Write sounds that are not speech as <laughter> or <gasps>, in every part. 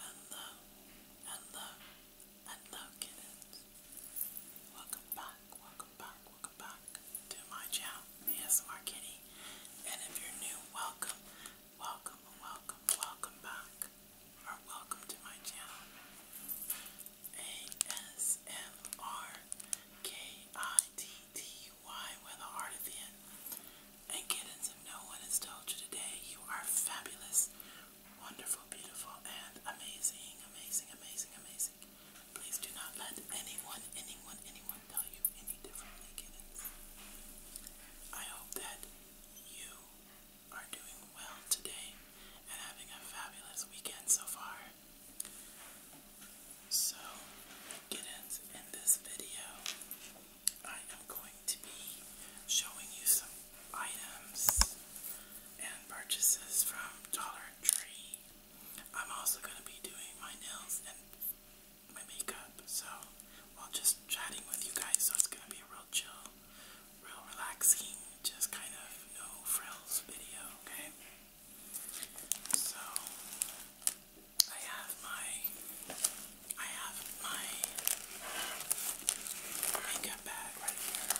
Hello, hello, hello kittens. Welcome back, welcome back, welcome back to my channel, ASMR Kitty. And if you're new, welcome, welcome, welcome, welcome back. Or welcome to my channel. A-S-M-R-K-I-T-T-Y with a heart at the end. And kittens, if no one has told you today, you are fabulous, wonderful, beautiful, and amazing, amazing, amazing, amazing. Please do not let anyone, anyone, anyone tell you any differently, kittens. I hope that you are doing well today and having a fabulous weekend so far. So, kittens, in this video, I am going to be showing you some items and purchases from Dollar Tree. I'm also going to be doing my nails and my makeup, so while just chatting with you guys, so it's going to be a real chill, real relaxing just kind of no frills video, okay? So I have my I have my makeup bag right here.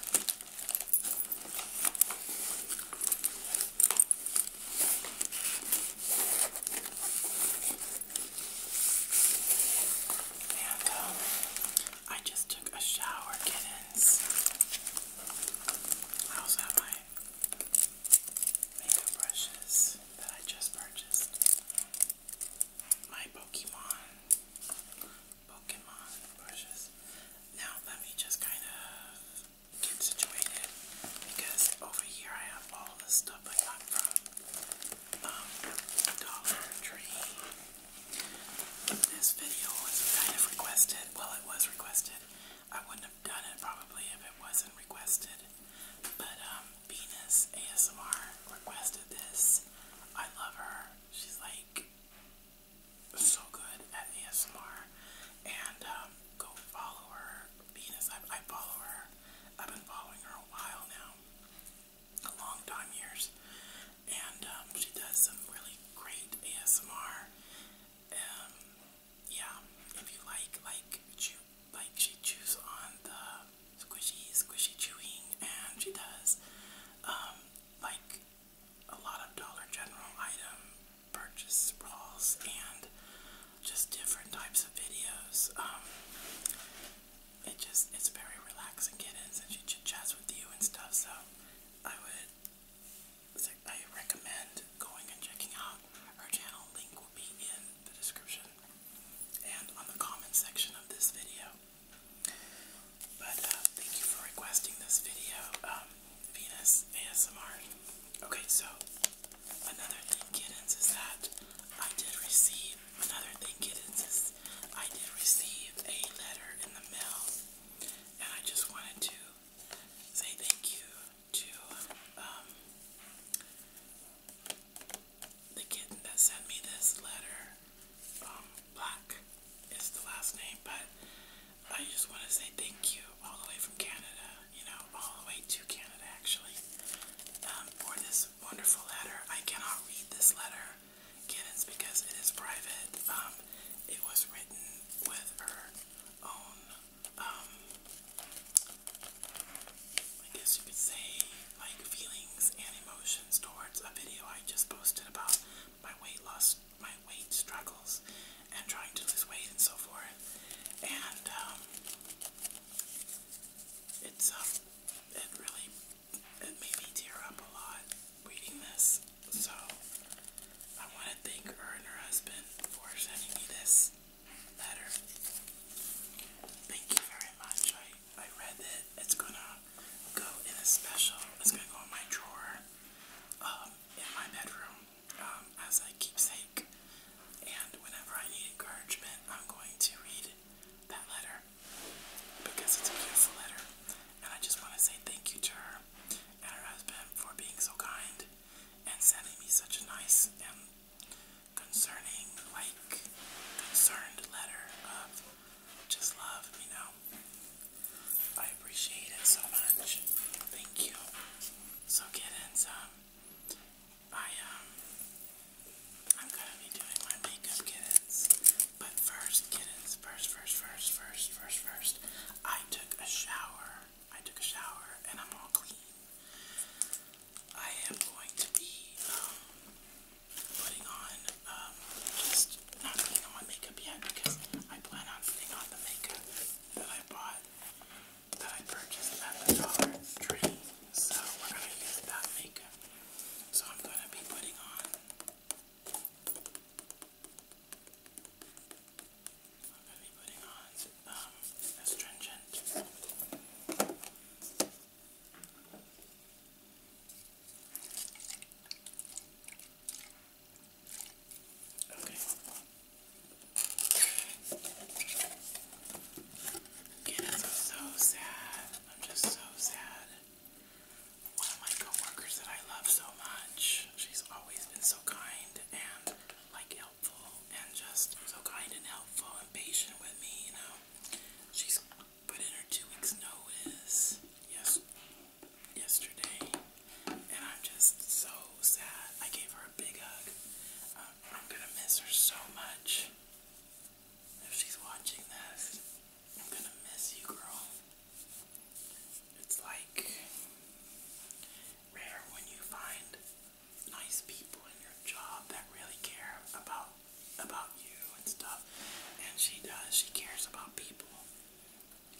And um I just took a shower kittens. I also have my makeup brushes that I just purchased. My Pokemon, Pokemon brushes. Now let me just kind of get situated because over here I have all the stuff I got from um, Dollar Tree this video was kind of requested, well, it was requested. I wouldn't have done it probably if it wasn't requested. But um, Venus ASMR requested this. I love her. She's like so good at ASMR. And um, go follow her. Venus, I, I follow her. I've been following her a while now. A long time, years and um, she does some really great ASMR. Um, yeah, if you like, like, chew, like she chews on the squishy, squishy chewing, and she does um, like a lot of Dollar General item purchase brawls and just different types of videos. Um, it just it's very relaxing kittens, and she chit chats with you and stuff. So I would I recommend going and checking out her channel. Link will be in the description and on the comment section of this video. But uh, thank you for requesting this video, um, Venus ASMR. Okay, so another thing, kittens, is that I did receive another thing, kittens, is I did receive a letter in the mail, and I just wanted to say thank you to um, the kitten that sent me this letter. Um, Black is the last name, but I just want to say thank you all the way from Canada, you know, all the way to Canada actually, um, for this wonderful letter. I cannot read this letter, kittens, because it is private. It was written with her own, um, I guess you could say, like feelings and emotions towards a video I just posted about my weight loss, my weight struggles, and trying to lose weight and so forth. And um, it's um, it really it made me tear up a lot reading this, so I want to thank her and her husband for sending me this letter. Thank you very much. I, I read it. It's gonna go in a special, it's gonna go in my drawer um, in my bedroom um, as a keepsake. And whenever I need encouragement, I'm going to read that letter because it's a beautiful letter. And I just want to say thank you to her and her husband for being so kind and sending me such a nice and concerning, like, concerned letter of just love, you know. I appreciate it so much. Thank you. So, kittens, um, I, um, I'm gonna be doing my makeup, kittens. But first, kittens, first, first, first, first, first, first, I took a shower. I took a shower and I'm all clean. I am going to be um, putting on, um, just not putting on makeup yet because I plan on putting on the makeup that I bought, that I purchased at the Dollar Tree. So we're going to use that makeup. So I'm going to be putting on I'm going to be putting on um, astringent. Okay. Yes, I'm so sad. I'm just so sad one of my coworkers that I love so much. She's always been so kind and like helpful and just so kind and helpful and patient with me, you know. She's put in her two weeks notice yes yesterday and I'm just so sad. I gave her a big hug. Um, I'm gonna miss her so much. If she's watching this, I'm gonna miss you, girl. It's like rare when you find nice people in your job that really care about about you and stuff. And she does. She cares about people.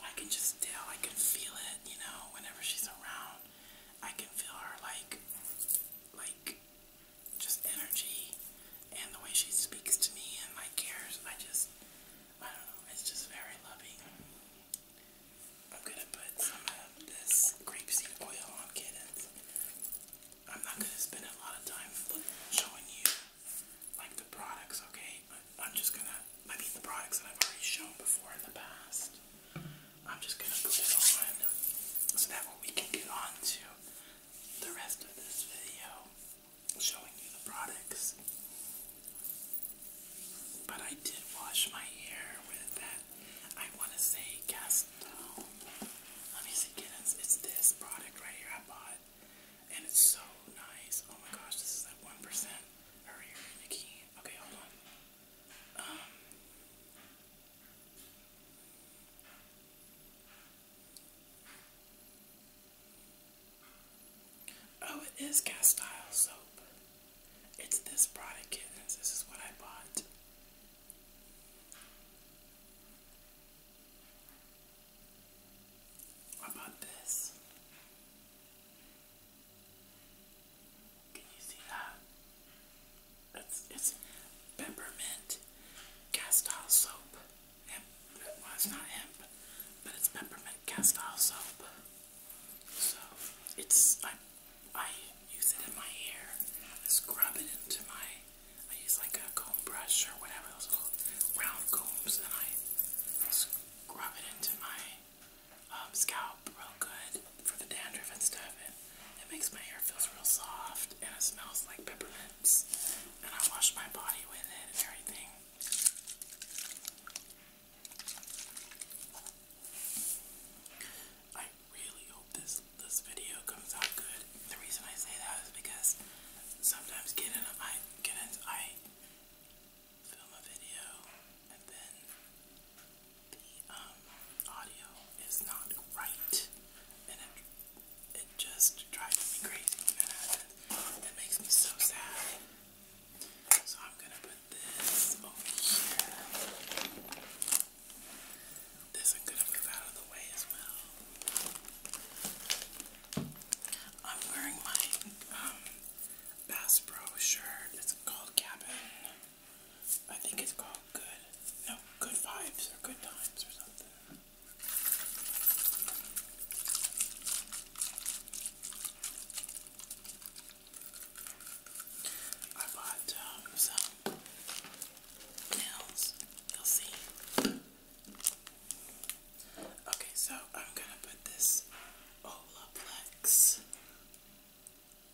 I can just tell. I can feel it. You know, whenever she's around, I can feel her like, like, just energy, and the way she speaks to me and like cares. I just, I don't know. It's just very loving. I'm gonna put some of this grapeseed oil on kittens. I'm not gonna spend a lot of time showing you like the products, okay? I'm just gonna, I mean the products that I've already shown before in the past. I'm just gonna put it on so that way we can get on to the rest of this video showing you the products. But I did wash my hair with that. I want to say Castel. Let me see, get it's, this product right here I bought. And it's so nice. Oh my gosh, this is like 1%. Hurry, Okay, hold on. Um, Oh, it is cast iron soap. It's this product, kittens. This is what I bought. I this. Can you see that? It's, it's peppermint castile soap. it's not hemp, but it's peppermint cast soap. So it's I I use it in my hair. I scrub it into my I use like a comb brush or whatever those little round combs and I scrub it into my um, scalp real good for the dandruff and stuff and it makes my hair feels real soft and it smells like peppermints and I wash my body with it and everything. I really hope this this video comes out good. The reason I say that is because sometimes getting I get in, I film a video and then the um audio is not right and it it just drives me crazy and it makes me so sad. So I'm going to put this over here. This I'm going to move out of the way as well. I'm wearing my um, Bass Pro shirt. It's called Cabin. I think it's called Good. No, Good Vibes or Good Times or something. I bought um, some nails. You'll see. Okay, so I'm gonna put this Olaplex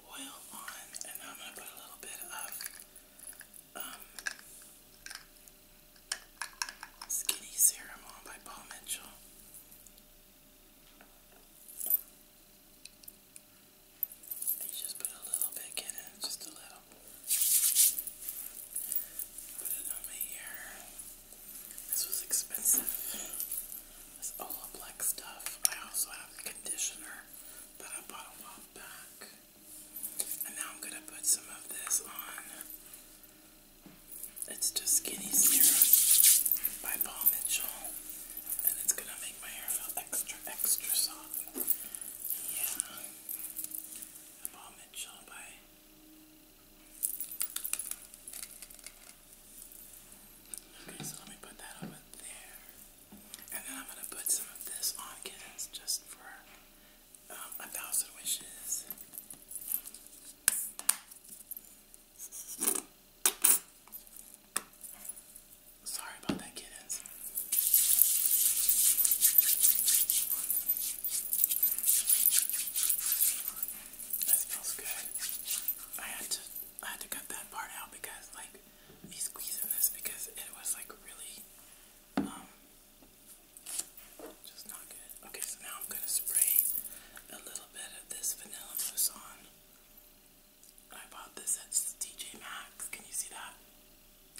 oil on, and I'm gonna put a little bit of um, skinny serum on by Paul Mitchell. You just put a little bit in just a little. Put it on my This was expensive. This Olaplex stuff. I also have a conditioner that I bought a while back. And now I'm gonna put some of this on it's just Skinny Serum by Paul Mitchell, and it's gonna make my hair feel extra, extra soft. Yeah, Paul Mitchell by. Okay, so let me put that over there, and then I'm gonna put some of this on kids just for um, a thousand wishes. Sorry about that, kittens. That feels good. I had to I had to cut that part out because like me squeezing this because it was like really um just not good. Okay, so now I'm gonna spray a little bit of this vanilla mousse on. I bought this at TJ Maxx. Can you see that?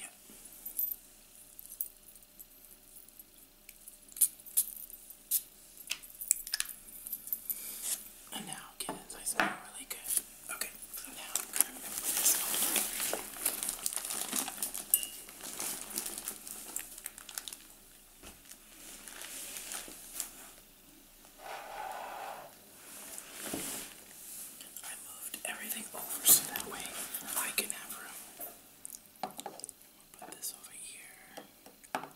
Yeah. And now, kittens, I smell really good. Okay, so now I'm gonna put this on. I moved everything over so that way I can have room. Put this over here. And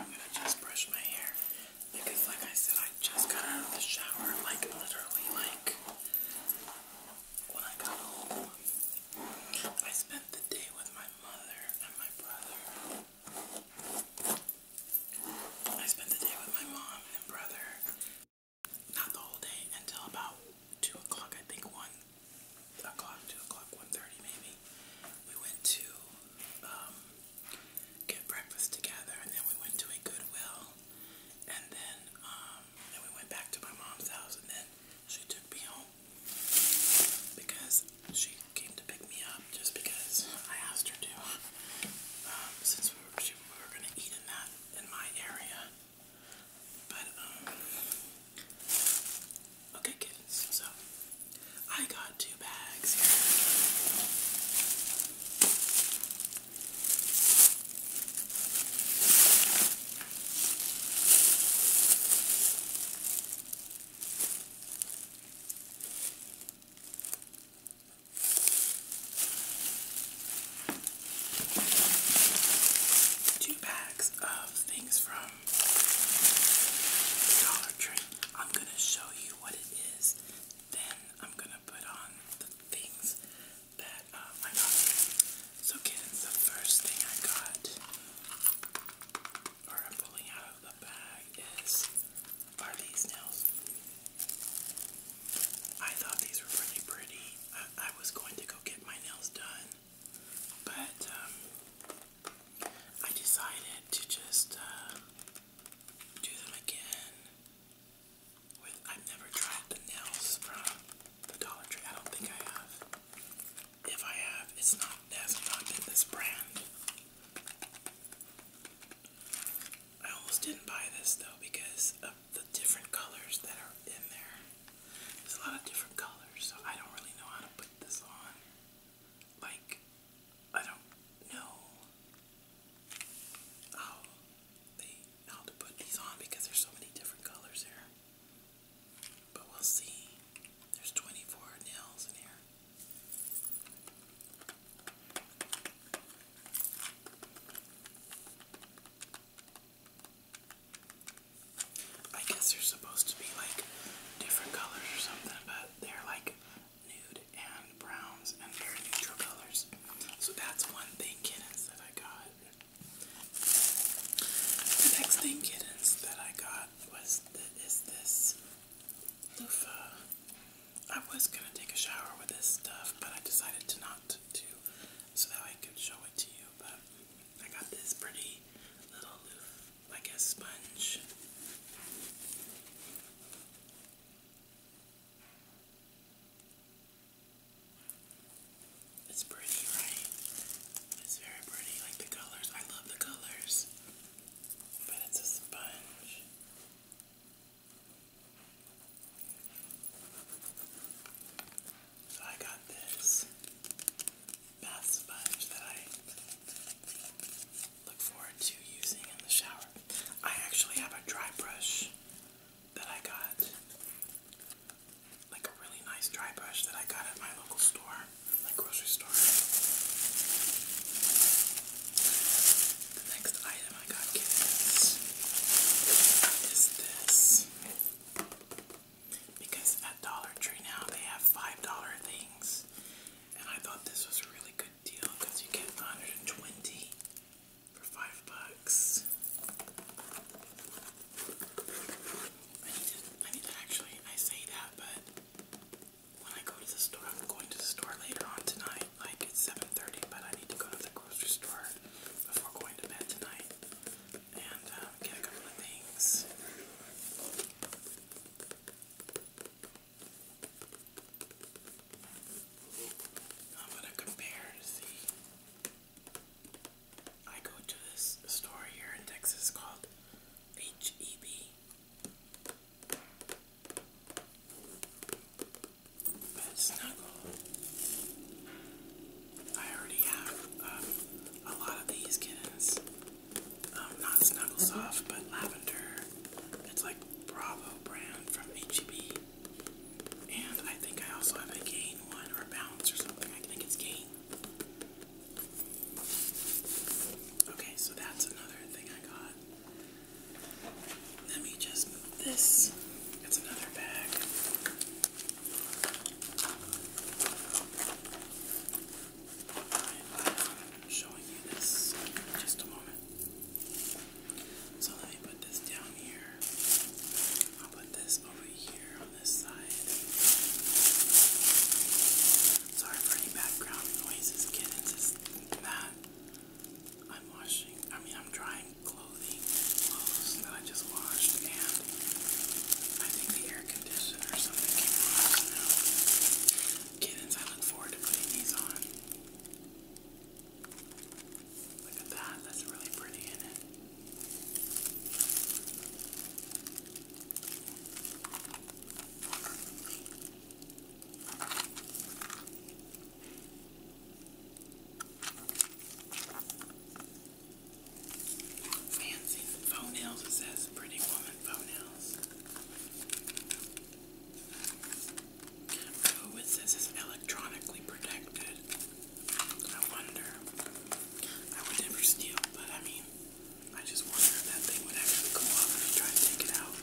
I'm gonna just brush my hair because like I said I just got out of the shower like literally like when I got home. I spent the day with my mother and my brother. I spent the day with my mom and brother. Not the whole day until about two o'clock, I think one o'clock, two o'clock, one thirty maybe. We went to um, get breakfast together, and then we went to a Goodwill, and then um, then we went back to my mom's house, and then she took me home because she came to pick me up just because I asked her to. Um, since we were, gonna eat in that in my area, but um, okay, kids. So I got two bags here. Two bags of things from Dollar Tree. I'm going to show you what it is, then I'm going to put on the things that uh, I got. So, kids, the first thing I got or I'm pulling out of the bag is are these nails. I thought these were pretty pretty. I, was going to go get my nails done, but um, I decided to just uh, do them again. With I've never tried the nails from the Dollar Tree. I don't think I have. If I have, it's not that's not this brand. I almost didn't buy this though because of the different colors that are in there. There's a lot of different colors, so I don't really know how to put this on. Like, I don't know how to put these on because there's so many different colors here. But we'll see. There's 24 nails in here. I guess they're supposed to be like different colors or something, but they're like nude and browns and very neutral colors. So that's one thing, kittens, that I got. The next thing, kittens, that I got was the, this loofah. I was gonna take a shower with this stuff, but I decided to not do so that I could show it to you. But I got this pretty little loof, like a sponge. It's pretty, right? It's very pretty, like the colors. I love the colors but it's a sponge. So I got this bath sponge that I look forward to using in the shower. I actually have a dry brush that I got, like a really nice dry brush that I got at my local store. My grocery store. The next item I got is this. Because at Dollar Tree now they have $5 things. And I thought this was a really good deal because you get 120 for five bucks. I need to I need to actually I say that but when I go to the store, I'm going to the store later on tonight, like it's 7.30, but I need to go to the grocery store before going to bed tonight and uh, get a couple of things. I'm going to compare I go to this store here in Texas called H-E-B. But it's not I already have um, a lot of these kittens. Um, not Snuggle mm-hmm. Soft, but Lavender. It's like Bravo brand from HEB. And I think I also have a Gain one or a Bounce or something. I think it's Gain. Okay, so that's another thing I got. Let me just move this. It's another bag. Um, showing you this in just a moment. So let me put this down here. I'll put this over here on this side. Sorry for any background noises, kittens, that. I'm washing, I mean, I'm drying clothing, clothes that I just washed, and I think the air conditioner or something came on Kittens, I look forward to putting these on. Look at that, that's really pretty in it. Fancy phone It says pretty woman phone Oh, it says it's electronically protected. I wonder. I would never steal, but I mean, I just wonder if that thing would actually come off if you try to take it out.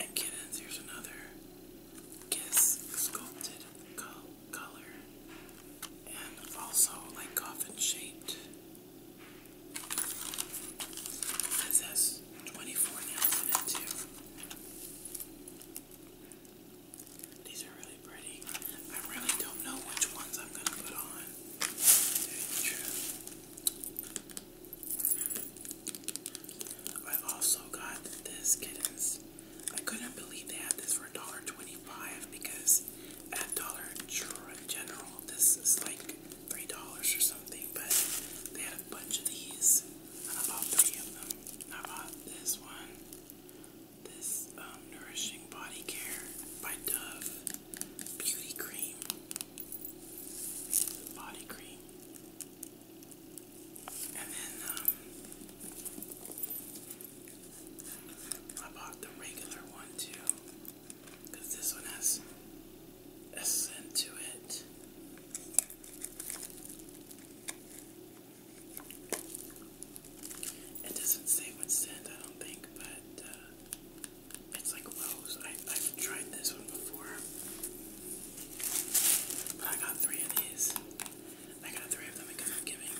And kittens, here's another kiss sculpted color. And also like coffin shaped. This 24 nails in it too. These are really pretty. I really don't know which ones I'm gonna put on. I also got this kittens. I couldn't believe they had this for $1.25 because at Dollar General this is like $3 or something, but they had a bunch of these. And I bought three of them. I bought this one this um, Nourishing Body Care by Dove Beauty Cream. is the body cream. And then um, I bought the regular one too, because this one has a to it. It doesn't say what scent, I don't think, but uh, it's like rose. I, I've tried this one before, but I got three of these. I got three of them because I'm giving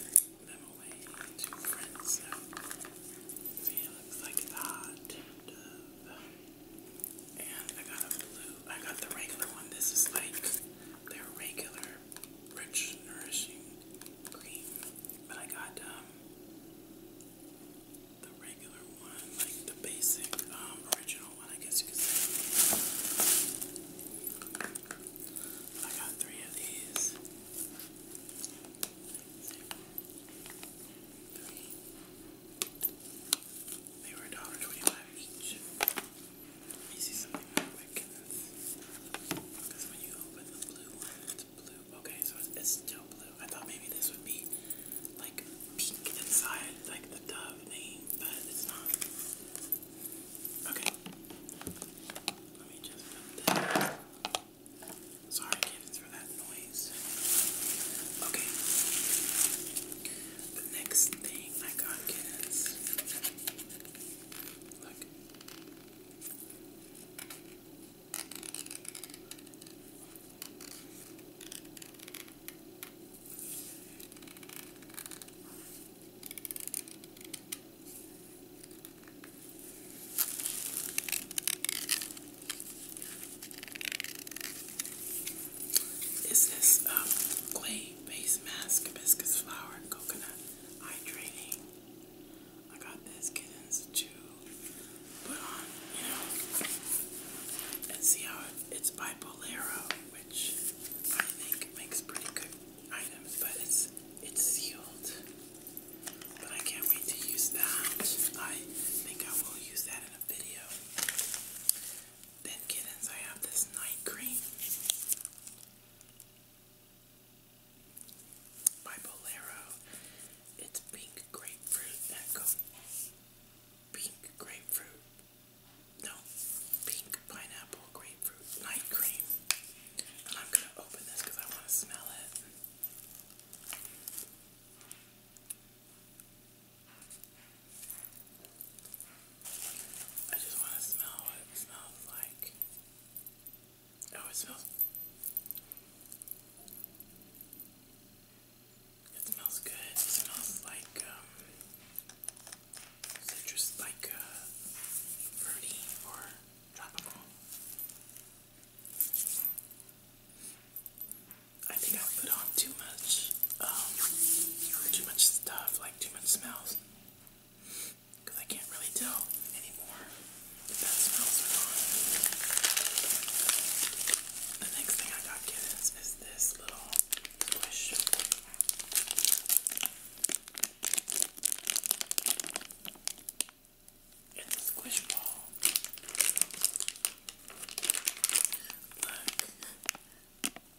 them away to friends. So, see, it looks like that. And I got a blue. I got the regular one. This is like they're regular rich, nourishing cream. But I got um, the regular one, like the basic um, original one, I guess you could say. I got three of these. They were $1.25 each. Let see something real quick. Because when you open the blue one, it's blue. Okay, so it's, still blue. I thought maybe this would be like pink inside, like the dove name, but it's not. Okay. Let me just put that. Sorry, kids, for that noise. Okay. The next thing I got, kids. Look. Is this um, clay base mask, hibiscus flower, and coconut hydrating? I got these kittens to put on, you know, and see how it, it's bipolaro, which I think makes pretty good items, but it's it's sealed. But I can't wait to use that. I think I will use that in a video. Then kittens, I have this night cream. By Bolero, it's pink grapefruit echo. Pink grapefruit. No, pink pineapple grapefruit night cream. And I'm gonna open this because I want to smell it. I just want to smell what it smells like. Oh, it smells. It smells good. It smells like um, citrus, like uh, fruity or tropical. I think I put on too much, um, too much stuff, like too much smells because I can't really tell anymore if that smells or not. The next thing I got is, this little squish. ball. Look,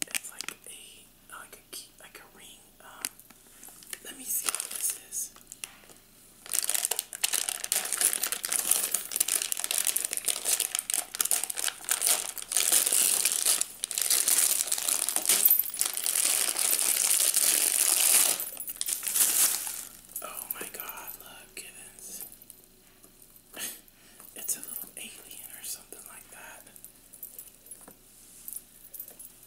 it's like a like a like a ring um, let me see what this is. Oh my god, look, kittens. <laughs> it's a little alien or something like that.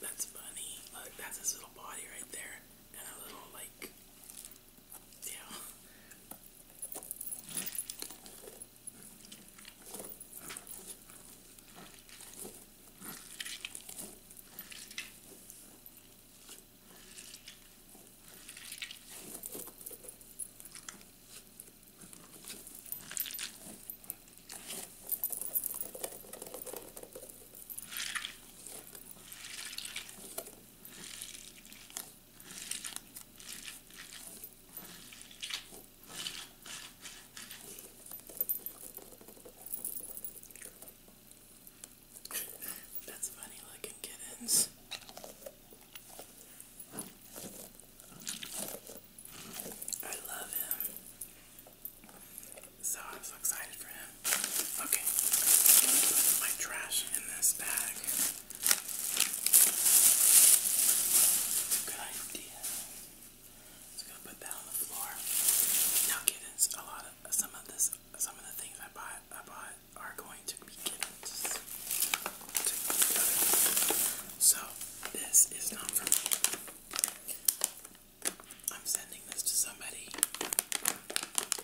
That's funny. Look, that's his little body right there. And a little, like, yeah. <laughs> That's funny looking kittens. I love him. So I am so excited for him. Okay, I'm gonna put my trash in this bag. It's a good idea. I'm gonna put that on the floor. Now kittens, a lot of some of this some of the things I bought I bought are going to be kittens. so this is not for I'm sending this to somebody. Hope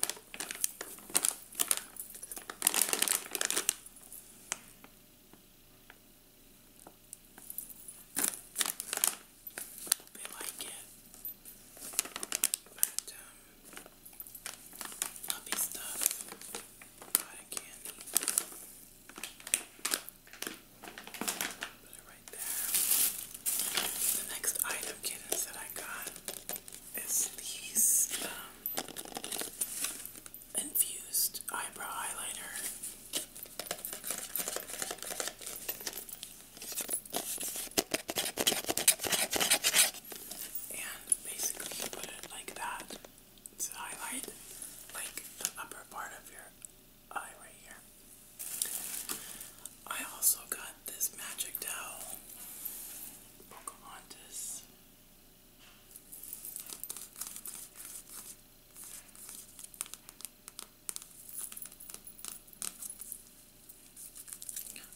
they like it. But, um, puppy stuff. A lot of candy. Put it right there. The next item that I got is these um, infused eyebrow highlighter. And basically you put it like that to highlight like the upper part of your eye right here. I also got this magic towel, Pocahontas.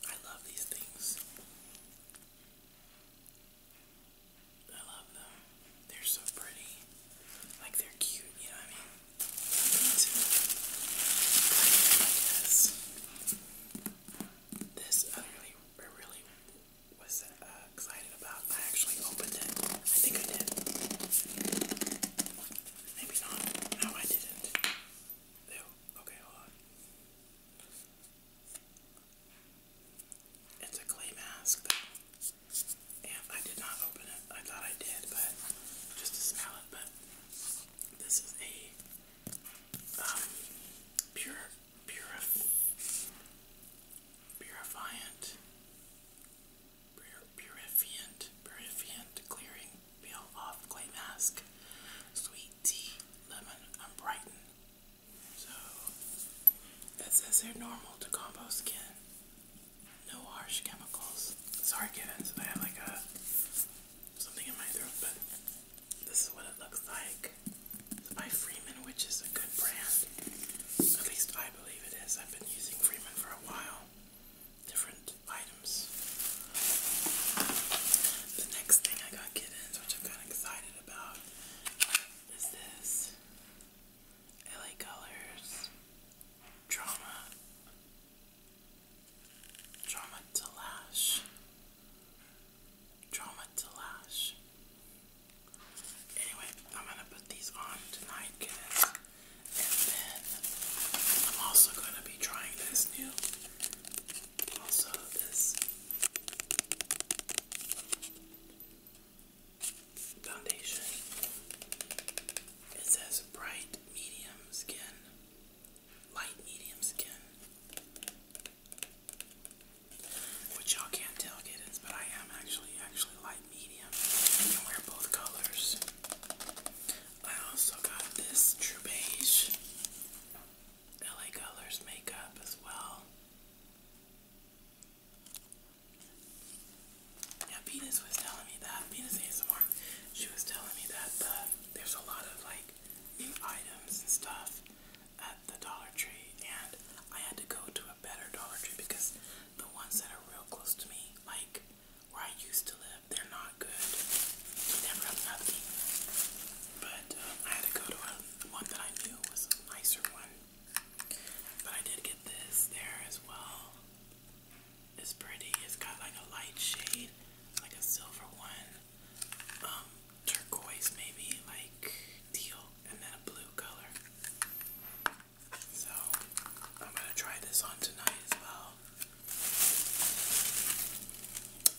I love these things. I love them. They're so pretty. Like they're cute, you know what I mean? like this I really, I really was uh, excited about. I actually opened it. I think I did. Maybe not. No, I didn't. Ew. Okay, hold on. It's a clay mask, though. I did not open it. I thought I did, but just to smell but this is a um, pure, purif purifiant, pur clearing peel off clay mask, sweet tea, lemon, and brighten. So that says they're normal to combo skin no harsh chemicals. Sorry, kittens, I have like a uh, something in my throat, but this is what it looks like. by Freeman, which is a good brand. At least I believe it is. I've been using Freeman for a while. Different items. The next thing I got kittens, which I'm kind of excited about, is this LA Colors Drama Drama to lash. Drama to lash. Anyway, I'm gonna put these on tonight, guys. And then I'm also gonna be trying this new also this foundation. It says bright medium skin light medium skin. Which y'all can't tell, kittens, but I am actually, actually light medium. I can wear both colors. I also got this True Beige LA Colors makeup as well. Yeah, Venus was telling me that. Venus ASMR she was telling me that the, there's a lot of like new items and stuff at the Dollar Tree, and I had to go to a better Dollar Tree because the ones that are real close to me, like where I used to live, they're not good. They never have nothing. But um, I had to go to a, one that I knew was a nicer one. But I did get this there as well. It's pretty. It's got like a light shade, like a silver one, um, turquoise maybe, like teal, and then a blue color. So I'm gonna try this on tonight as well.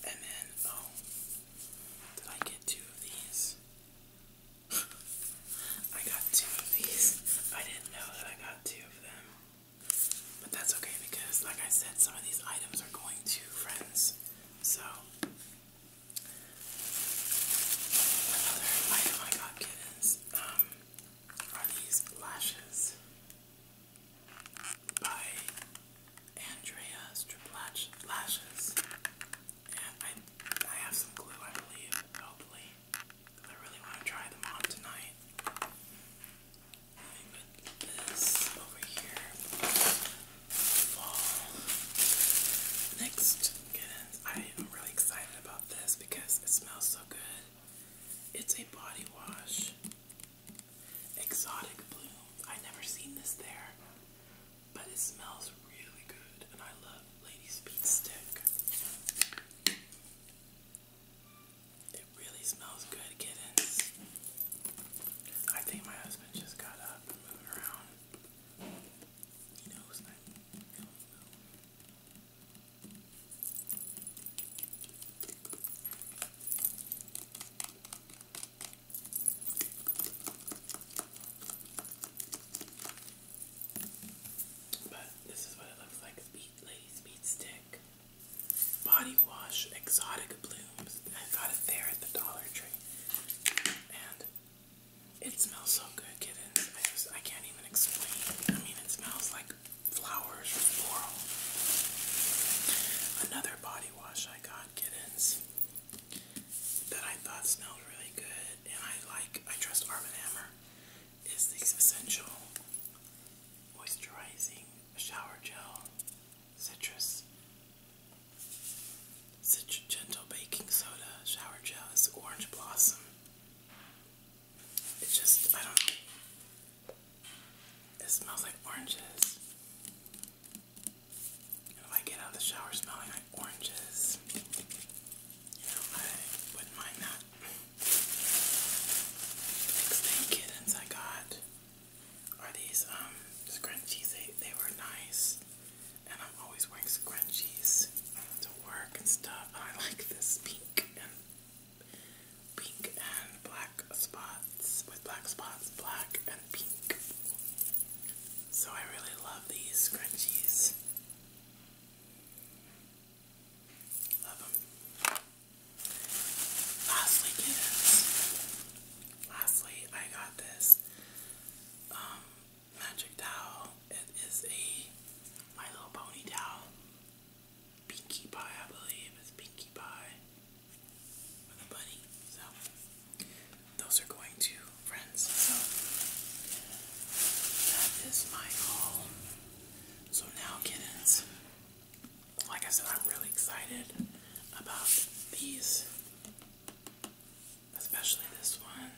And then oh, did I get two of these? <laughs> I got two of these. I didn't know that I got two of them. But that's okay because, like I said, some of these items are going to friends. So, another item I got kittens um, are these lashes by Andrea Striplatch Lashes. And I, I have some glue, I believe, hopefully. I really want to try them on tonight. Next, I am really excited about this because it smells so good. It's a body wash. Exotic blue. I never seen this there, but it smells really good, and I love Ladies Beat Stick. It really smells good, kittens. I think my husband just got up and moved around. He knows But this is what it looks like, speed, lady speed stick body wash exotic blooms. I got it there at the Dollar Tree. And it smells so good, kittens. I can't even explain. I mean it smells like flowers floral. Another body wash I got, kittens, that I thought smelled really good and I like I trust Arm & Hammer is this essential moisturizing shower gel, citrus, Citru gentle baking soda, shower gel is orange blossom. It's just, I don't it smells like oranges. if I get out of the shower smelling like oranges, you know, I wouldn't mind that next thing kittens I got are these um, scrunchies. they were nice and I'm always wearing scrunchies to work and stuff. I like this pink and pink and black spots with black spots, black and pink. So I really love these scrunchies. Love them. Lastly, kittens. Lastly, I got this um, magic towel. It is a My Little Pony towel. Pinkie Pie, I believe. It's Pinkie Pie with a bunny. So, those are going to friends. So, that is my haul. So now, kittens, like I said, I'm really excited about these, especially this one.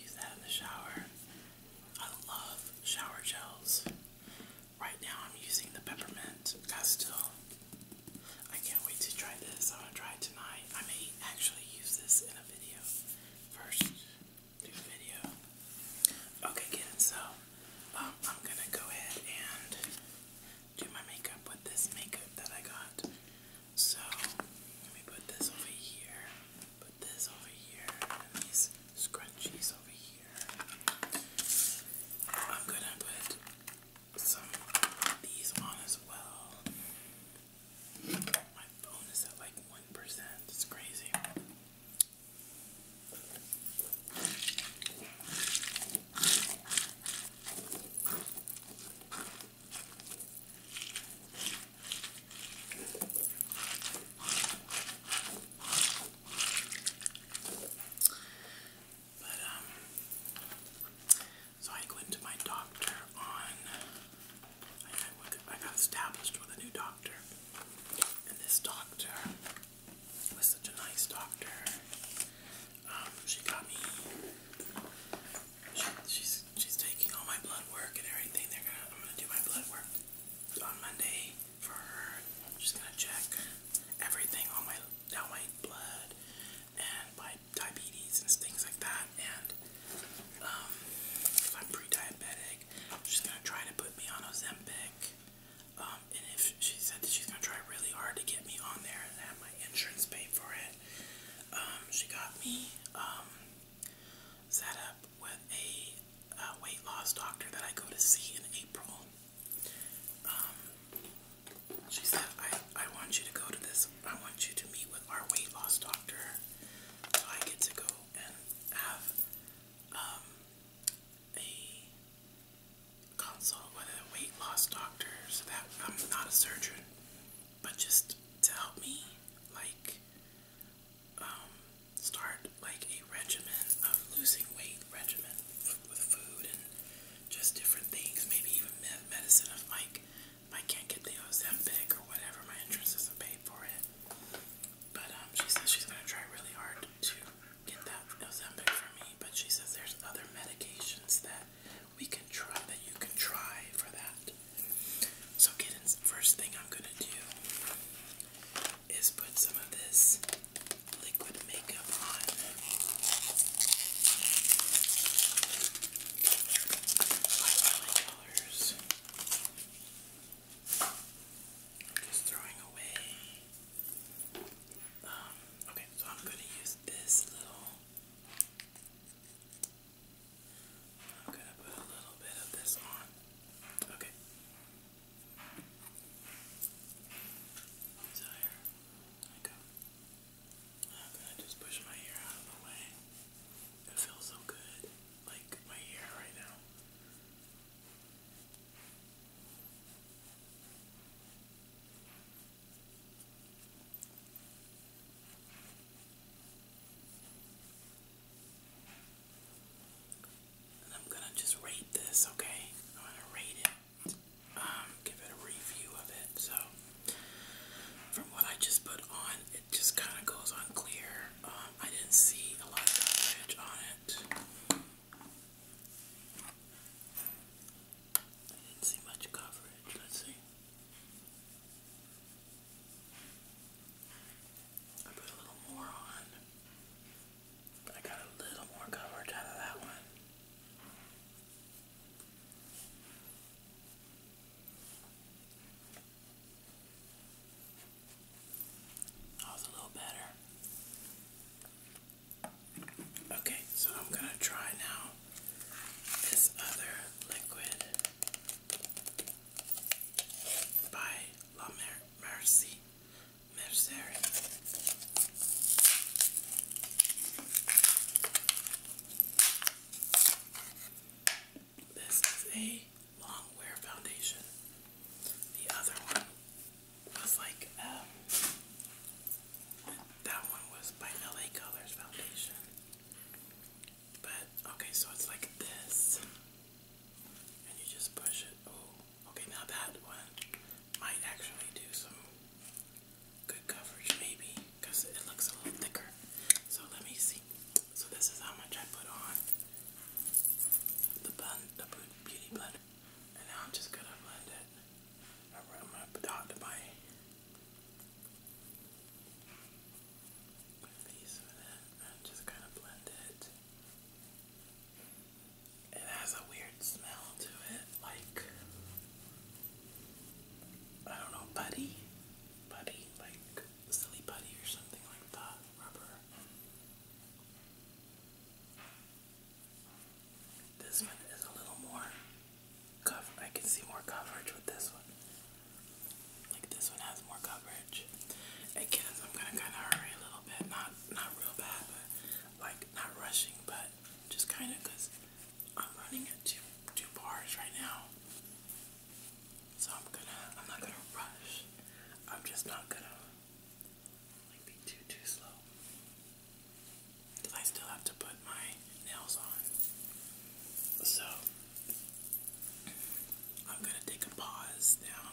Use that in the shower. I love shower gels. Right now, I'm using the peppermint Castile. I can't wait to try this. I'm gonna try it tonight. I may actually use this in a video first. Do a video. Okay, kids. So um, I'm gonna go ahead and do my makeup with this makeup that I got. So let me put this over here, put this over here, these scrunchies over here. I'm gonna put some of these on as well. My phone is at like 1%. It's crazy. But, um, so I went to my doctor on, I got established with a new doctor, and this doctor was such a nice doctor. Um, she got me. she's she's taking all my blood work and everything. They're gonna I'm gonna do my blood work on Monday for her. She's gonna check everything on my all my blood and my diabetes and things like that. And um, if I'm pre-diabetic, she's gonna try to put me on Ozempic. Um, and if she said that she's gonna try really hard to get me on there and have my insurance paid for it, um, she got me um, set up with a, a weight loss doctor that I go to see in April. Um, she said, I, I want you to go to this, I want you to meet with our weight loss doctor. So I get to go and have um, a consult with a weight loss doctor so that I'm not a surgeon, but just to help me like um start like a regimen of losing weight regimen with food and just different things, maybe even medicine of like if I can't get the Ozempic or whatever, my insurance doesn't pay for it. But um, she says she's gonna try really hard to get that Ozempic for me. But she says there's other medications that we can try that you can try for that. So, kittens, first thing I'm gonna do is put some of this liquid makeup on. just throwing away um, okay, so I'm gonna use this little. I'm gonna put a little bit of this on. Okay. So I'm gonna just push my hair out of the way. It feels so good, like my hair right now. I'm gonna just rate this, okay? I'm gonna rate it, um, give it a review of it. So, from what I just put on, it just kind of goes on clear. Um, I didn't see a lot of coverage on it. I didn't see much coverage. Let's see. I put a little more on. I got a little more coverage out of that one. That was a little better. Okay, so I'm gonna try now this other liquid by La Mer Mercy This is a long wear foundation. The other one was like, um, that one was by LA Colors Foundation. But, okay, so it's like this. And you just push it. Oh, okay, now that one might actually do some good coverage, maybe, because it looks a little thicker. So let me see. So this is how much I put on the beauty blender. And now I'm just gonna blend it. I'm gonna put out my piece of it and just kind of blend it. It has a weird smell to it, like I don't know, buddy, putty, like silly putty or something like that, rubber. This one is a little more cover. I can see more coverage with this one. Like this one has more coverage. I I'm gonna kind of hurry a little bit. Not not real bad, but like not rushing, but just kind of because I'm running at two two bars right now. So I'm gonna I'm not gonna rush. I'm just not gonna like be too too slow. I still have to put my nails on. So I'm gonna take a pause now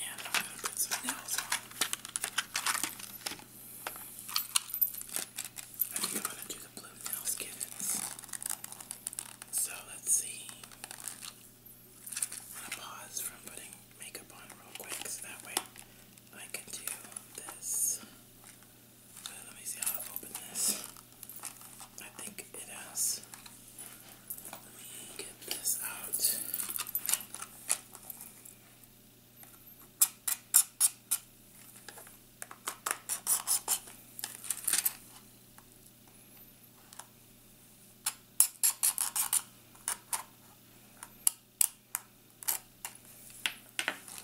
and I'm gonna put some nails on. I think I'm gonna do the blue nail skittens. So let's see. I'm gonna pause from putting makeup on real quick so that way I can do this. Uh, let me see how I open this. I think it has. Let me get this out.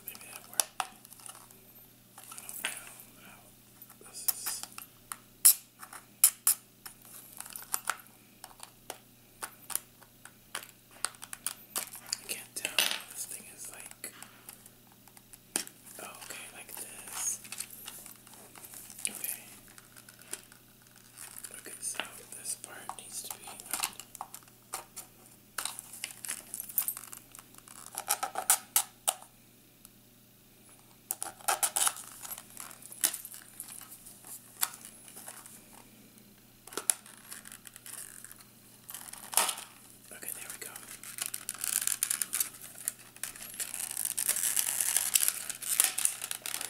Maybe that worked. I don't know how this is. I can't tell this thing is like oh, okay like this. Okay. Okay, so this part needs to be on. Okay, there we go.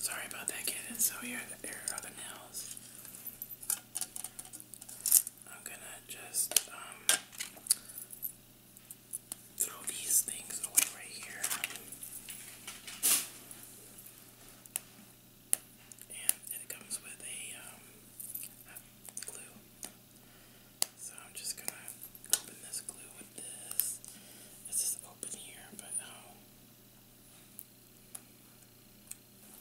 Sorry about that, kittens. So here, are the nails. I'm gonna just um, throw these things away right here. And it comes with a um, glue. So I'm just gonna open this glue with this. It's just open here, but no. Um,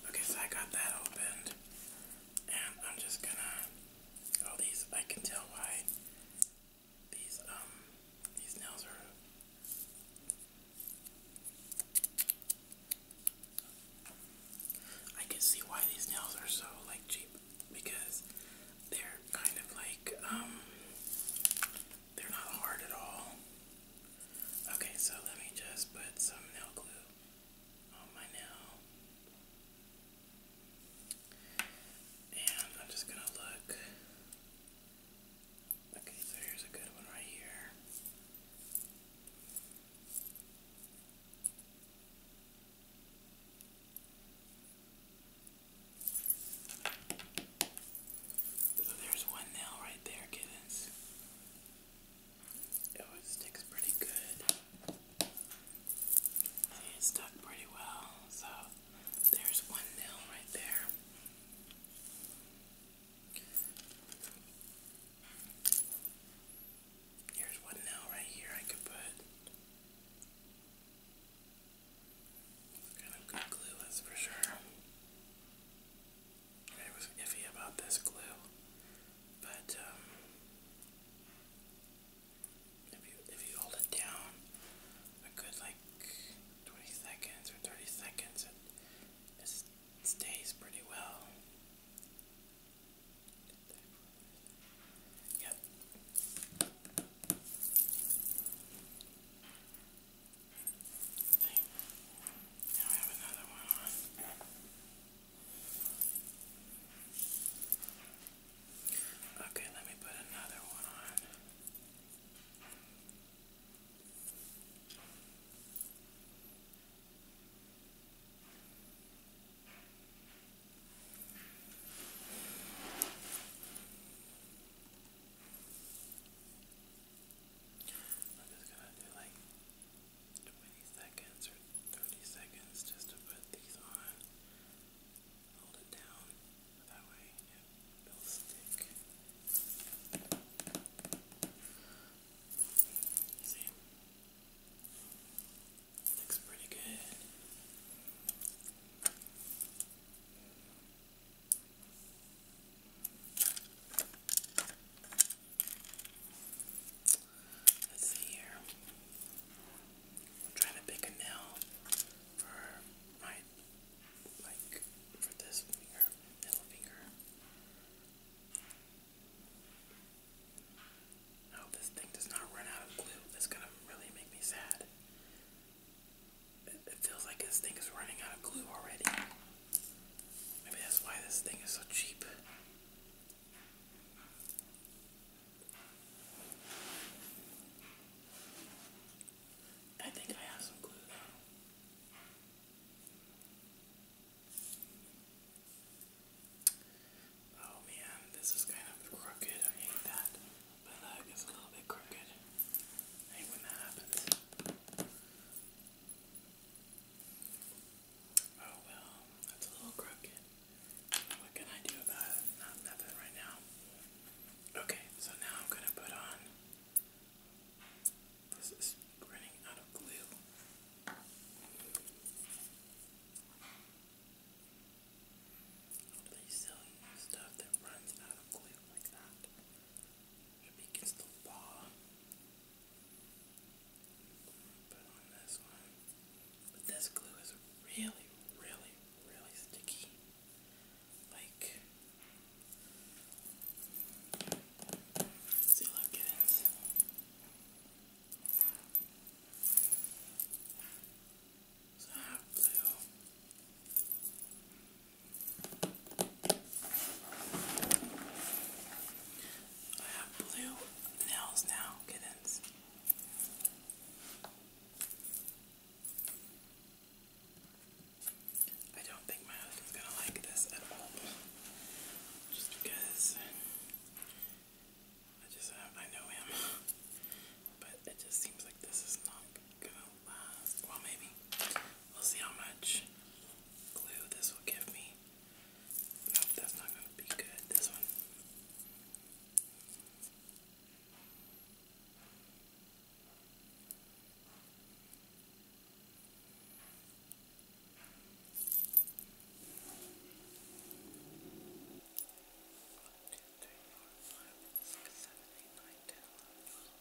okay, so I got that opened. And I'm just gonna all these I can tell why these um these nails are I can see why these nails are so like cheap because they're kind of like um they're not hard at all. Okay, so let me just put some nail glue on my nail. And I'm just gonna look. Okay, so here's a good one right here. So there's one nail right there, kittens. It sticks pretty good. See, stuck pretty well. So there's one nail right there. Here's one nail right here I could put. Kind of good glue, that's for sure. I was iffy about this glue, but um, if you if you hold it down a good like 20 seconds or 30 seconds, it stays pretty well. Yep. See? Now I have another one on. Okay, let me put another one on. Okay, I'm just gonna do like 20 seconds or 30 seconds just to put these on. Hold it down. That way it'll stick. See? Looks pretty good. Let's see here. i to pick a nail for my like for this finger, middle finger. I this thing does not run out of glue. That's gonna really make me sad it feels like this thing is running out of glue already. Maybe that's why this thing is so cheap. I think I have some glue Oh man, this is kind of crooked. I hate that. But look, uh, it's a little bit crooked. Hate when that happens. Oh well, that's a little crooked. What can I do about it? Not nothing right now. Okay, so now I'm gonna put on. This is running out of glue. Please sell you stuff that runs out of glue like that. against the law. But on this one, but this glue is really, really, really sticky. Like, see, look at it. It's not I have blue nails now, kittens. I don't think my husband's gonna like this at all. Just because I just I know him. But it just seems like this is not gonna well, maybe. We'll see how much glue this will give me. Nope, that's not going to be good. This one three, four, five, six, seven, eight, nine, ten, eleven, twelve,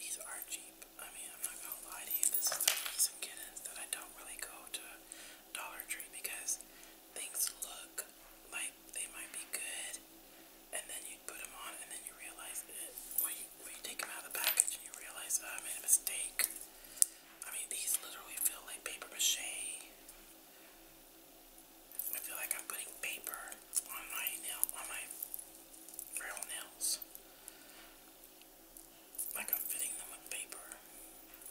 these are cheap. I mean, I'm not gonna lie to you. This is the reason, kittens, that I don't really go to Dollar Tree because things look like they might be good, and then you put them on, and then you realize it. When you, when you take them out of the package and you realize, I made a mistake. I mean, these literally feel like paper mache. I feel like I'm putting paper on my nail, on my real nails. Like I'm fitting them with paper.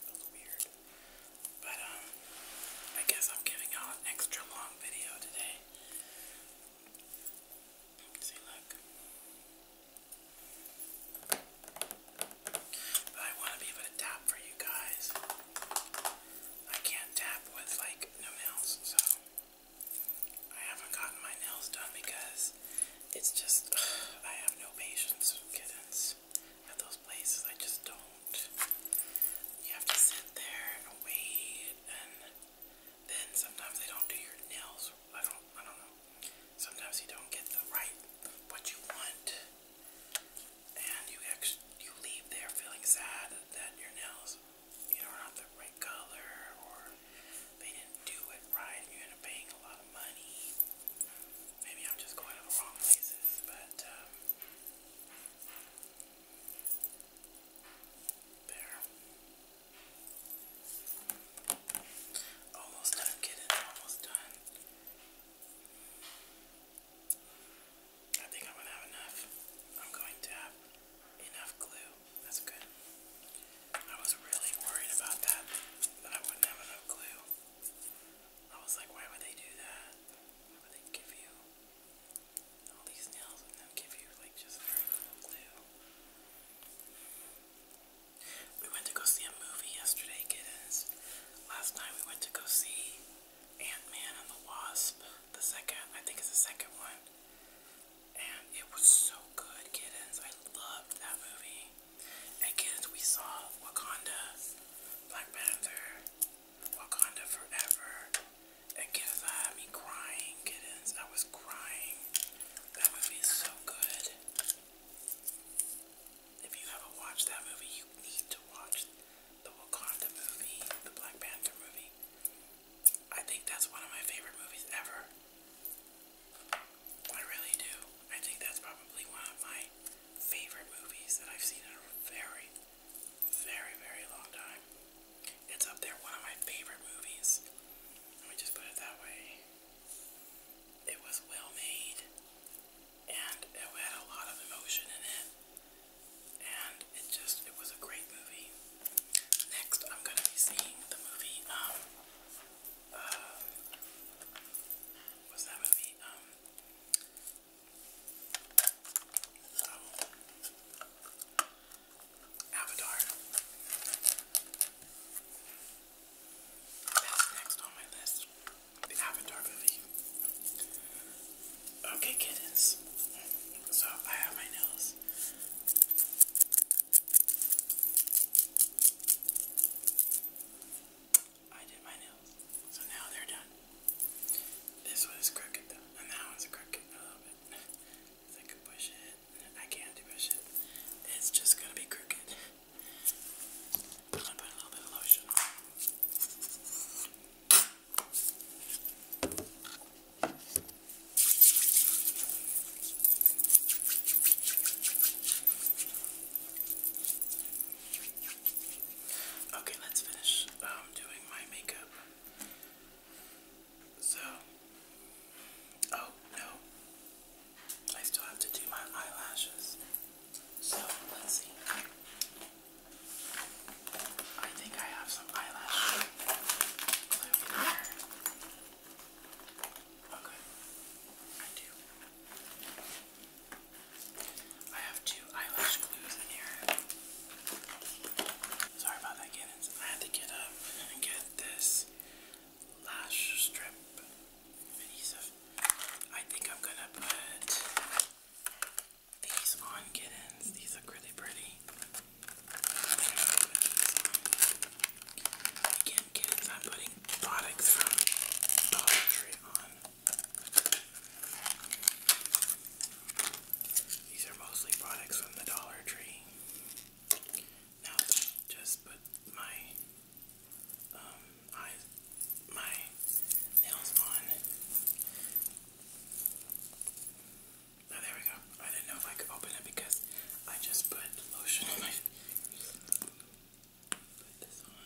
That's weird. But, um, I guess I'm giving you an extra long video today. See, look. But I want to be able to tap for you guys. I can't tap with, like, no nails, so I haven't gotten my nails done because it's just, <sighs> I have no patience with kittens at those places. I just don't you have to sit there and wait and then sometimes they don't do your nails. I don't I don't know. Sometimes you don't get the right what you want and you actually you leave there feeling sad that your nails you know are not the right color or they didn't do it right and you end up paying a lot of money. Maybe I'm just going to the wrong places, but um there. Almost done, kitten. Almost done. I think I'm gonna have enough. I'm going to have enough glue. That's good. I was really worried about that, that I wouldn't have enough glue. I was like, why would they do that? Why would they give you we went to go see a movie yesterday, kittens. Last night we went to go see Ant-Man and the Wasp, the second, I think it's the second one. And it was so good, kittens. I loved that movie. And kittens, we saw Wakanda, Black Panther, Wakanda Forever. Again, I me crying, kittens. I was crying. That movie is so good. If you haven't watched that movie, you need to watch the Wakanda movie, the Black Panther movie. I think that's one of my favorite movies ever. I really do. I think that's probably one of my favorite movies that I've seen in a very, very, very long time. It's up there, one of my favorite movies. Let me just put it that way. It was well made, and it had a lot of emotion in it, and it just, it was a great movie. Next, I'm going to be seeing the movie, um, uh, what's that movie? Um, um, Avatar. That's next on my list. The Avatar movie. Okay, kittens. So I have my nails. I did my so now they're done. This one is crooked though, and that one's crooked a little bit. If I could push it, I can't push it. It's just gonna be crooked. I'm gonna put a little bit of lotion Okay, let's finish um, doing my makeup. So, oh no, I still have to do my eyelashes. So, let's see. I think I have some eyelash Okay, I do. I have two eyelash glues in here. Sorry about that, Cannons. I had to get up and get this lash strip I think I'm gonna put these on kittens. These look really pretty. Again, kittens, I'm putting products from Dollar Tree on. These are mostly products from the Dollar Tree. Now, just put my um, my nails on. there we go. I didn't know if I could open it because I just put lotion on my. <laughs> Put this on.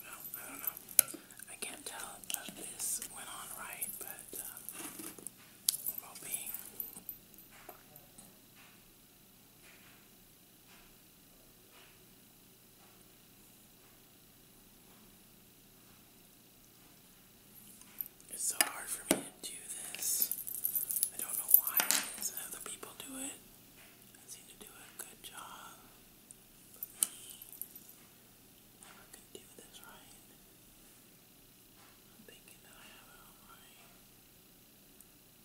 I don't know. I can't tell if this went on right, but um, i It's so hard for me to do this. I don't know why Other people do it. I seem to do a good job, but me, never could do this right. I'm thinking that I have it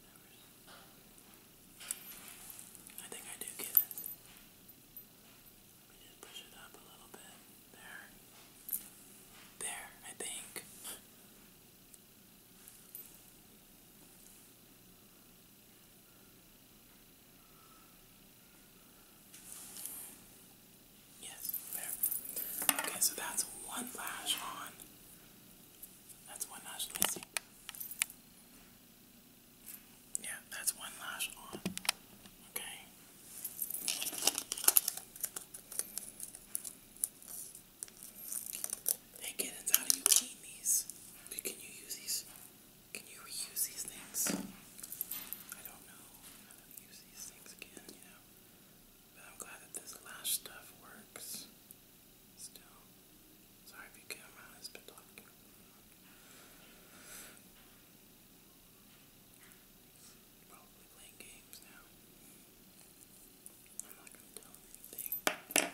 Never. I think I do get it. Let just push it up a little bit. There. There, I think. Yes, Okay, so that's one lash on. That's one lash. Let Yeah, that's one lash on. Okay. Hey kittens, how do you clean these? Can you use these? Can you reuse these things? I don't know. I'm not know i to use these things again, you know. But I'm glad that this lash stuff works. Still. Sorry if you can my husband talking. probably playing games now. I'm not gonna tell him anything.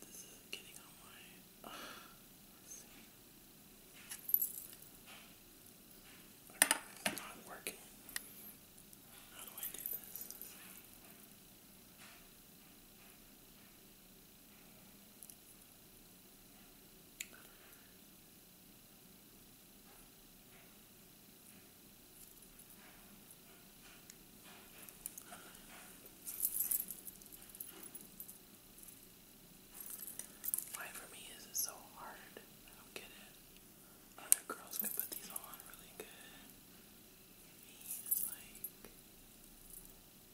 This is getting on my. Oh, let's see. not working. How do I do this? Why for me is it so hard? I don't get it. Other girls can put these on really good. Me, it's like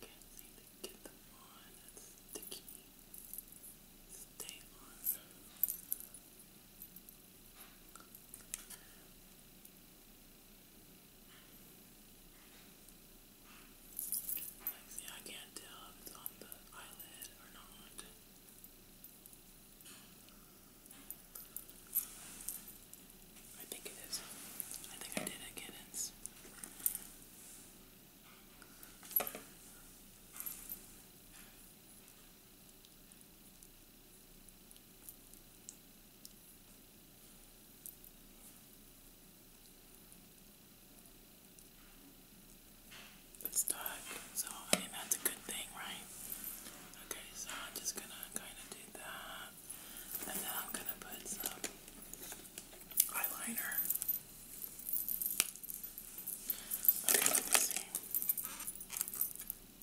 can't seem to get them on. It's sticky. Stay on. Like, see, I can't tell if it's on the eyelid or not. I think it is. I think I did it, kittens. It's dark, so I mean that's a good thing, right? Okay, so I'm just gonna kinda do that. And then I'm gonna put some eyeliner. Okay, let me see.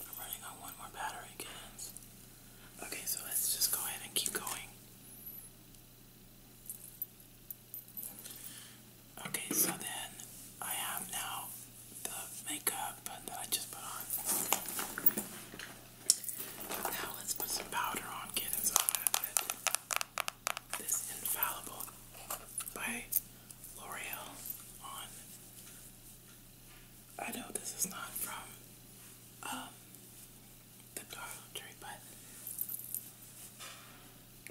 I'm running on one more battery, kids. Okay, so let's just go ahead and keep going. Okay, so then I have now the makeup that I just put on. Now let's put some powder on, kittens. I'm going this Infallible by L'Oreal on. I know this is not from um, the Dollar Tree, but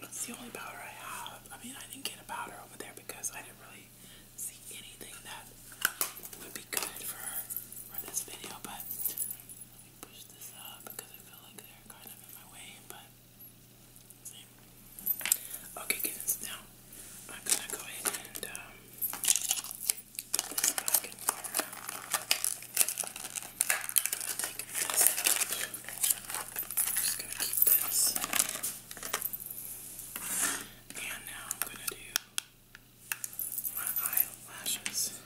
it's the only powder I have. I mean, I didn't get a powder over there because I didn't really see anything that would be good for for this video, but let me push this up because I feel like they're kind of in my way, but see. Okay, kittens, now I'm gonna go ahead and um, just gonna keep this. And now I'm gonna do my eyelashes.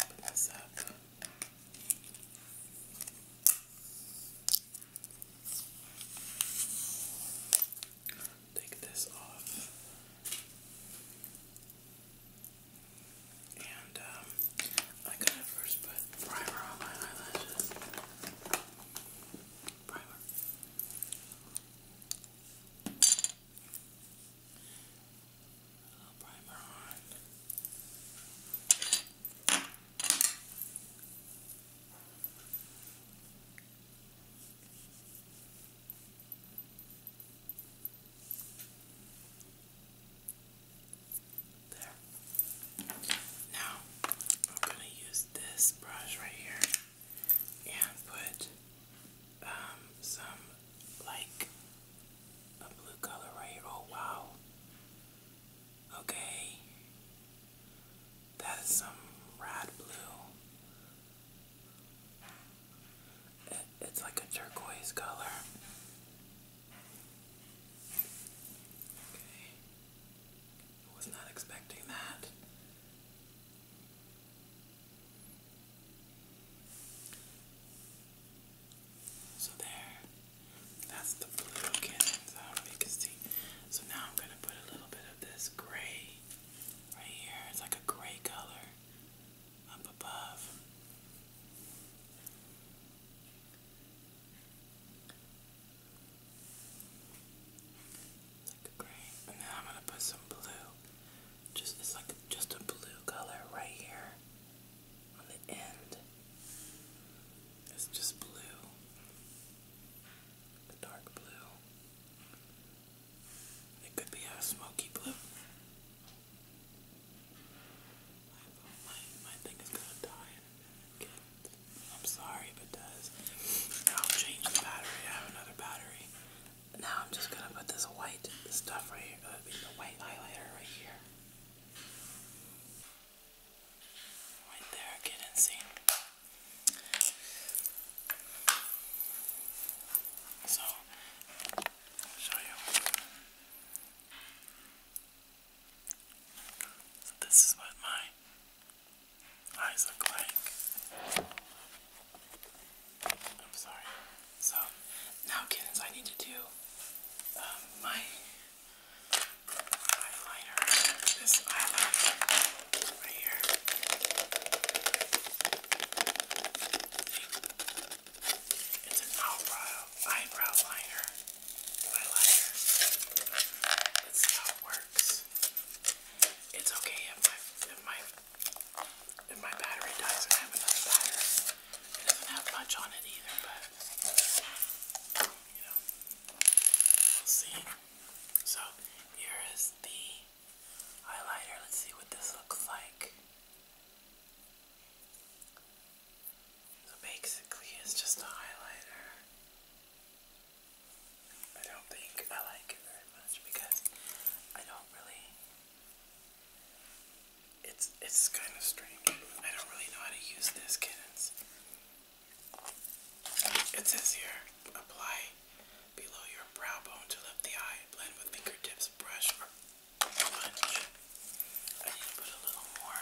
Open this up. Take this off. And um, I gotta first put primer on my eyelashes. Primer. little primer on. There. Now, I'm going to use this brush right here and put um, some, like, a blue color right here. Oh, wow. Okay. That is some rad blue. it's like a turquoise color. Okay. I was not expecting that. So there, that's the blue you can see. So now I'm gonna put a little bit of this gray right here. It's like a gray color up above. Like a and then I'm gonna put some blue. Just it's like just a blue color right here on the end. It's just blue, a dark blue. It could be a smoky blue my, thing is gonna die in I'm sorry if it does. I'll change the battery. I have another battery. Now I'm just gonna put this white stuff right here, uh, the white highlighter right here. Right there, get in So, show you this is what my eyes look like. I'm sorry. So now kittens I need to do um, my eyeliner. This eyeliner right here. It's an eyebrow eyebrow liner eyeliner. Let's see how it works. It's okay if my if my if my battery dies and I have another battery. It doesn't have much on it either, but you know. see. So here is the highlighter. Let's see what this looks like. So basically, it's just a highlighter. I don't think I like it very much because I don't really. It's it's kind of strange. I don't really know how to use this, kittens. It says here, apply below your brow bone to lift the eye. Blend with fingertips, brush, or sponge. I need to put a little more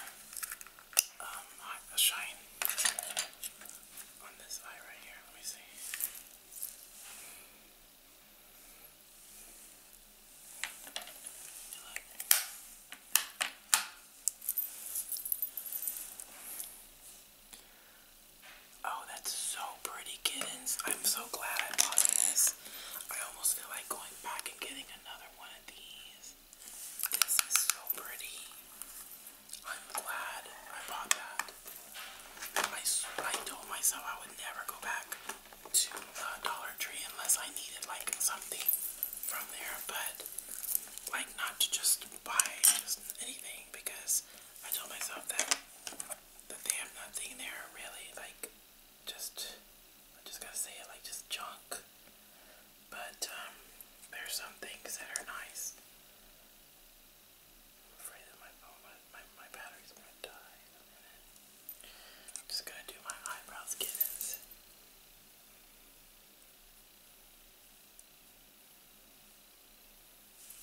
um, a shine on this eye right here. Let me see. Oh, that's so pretty, kittens. I'm so glad I bought this. I almost feel like going back and getting another one of these. This is so pretty. I'm glad I bought that. I, I told myself I would never go back to uh, Dollar Tree unless I needed like something from there, but like not to just buy just anything because I told myself that that they have nothing there really like just I just gotta say it like just junk. But um, there's some things that are nice. afraid that my phone, my, my, battery's gonna die I'm just gonna do my eyebrows, kittens.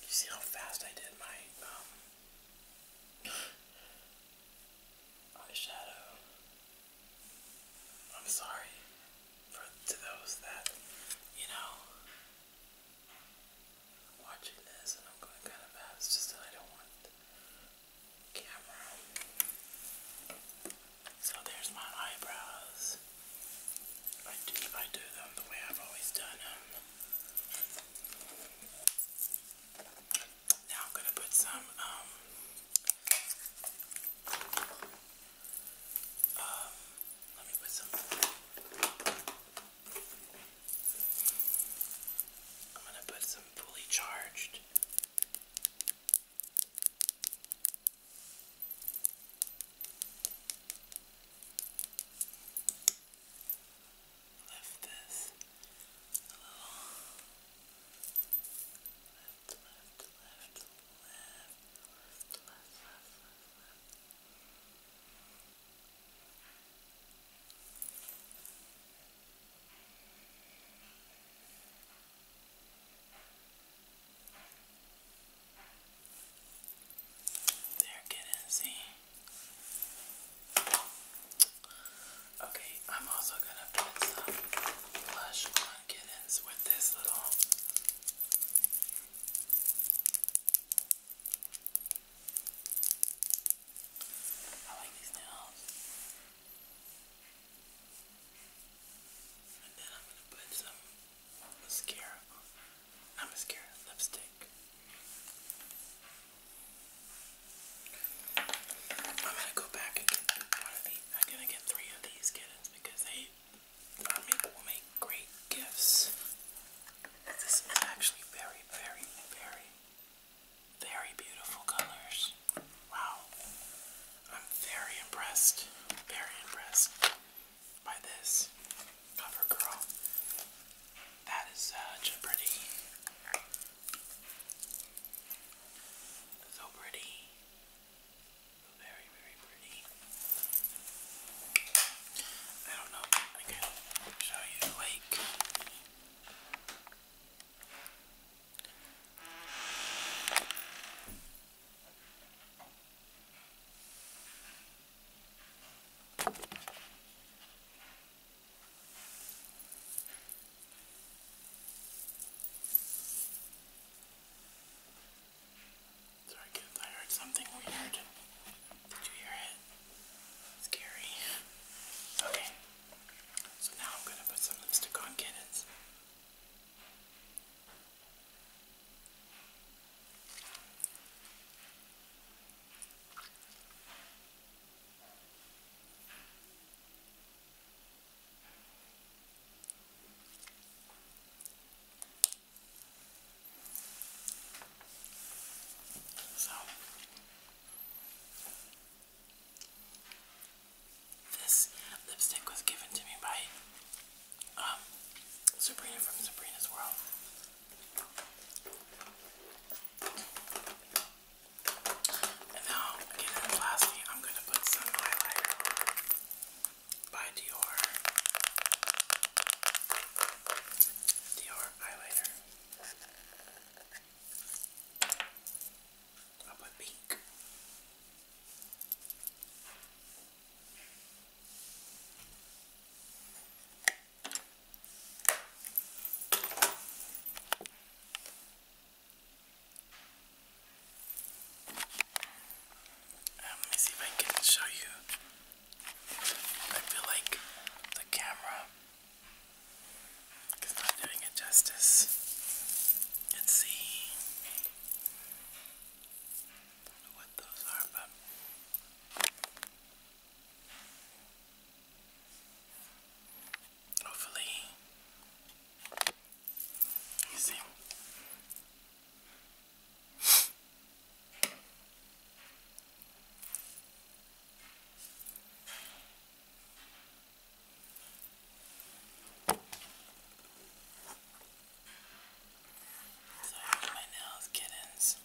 You see how fast I did my um, <gasps> eyeshadow? I'm sorry for to those that, you know, watching this and I'm going kind of fast. just that I don't want camera. So there's my eyebrows. I do I do them the way I've always done them. Now I'm gonna put some um um, let me put some. I'm gonna put some fully charged. Lift this a little left, left, left, see. Okay, I'm also gonna put some blush with this little I like these nails. And then I'm gonna put some mascara Not mascara, lipstick. I'm gonna go back and get one of these. I'm gonna get three of these kittens because they are made to make great gifts. This is actually very, very, very, very beautiful colors. Wow. I'm very impressed, very impressed by this cover girl. That is such a pretty, so pretty. Very, very pretty. I don't know if I can show you the lake. Sorry kids, I heard something weird. Did you hear it? Scary. Okay. So now I'm gonna put some lipstick on kittens. So, this lipstick was given to me by um, Sabrina from Sabrina's World. And now, again, lastly, I'm going to put some highlighter by Dior. Dior eyeliner. I'll pink let me see if I can show you. I feel like the camera is not doing it justice. Let's see. what those are, Hopefully, you see? So here's my nails, kittens.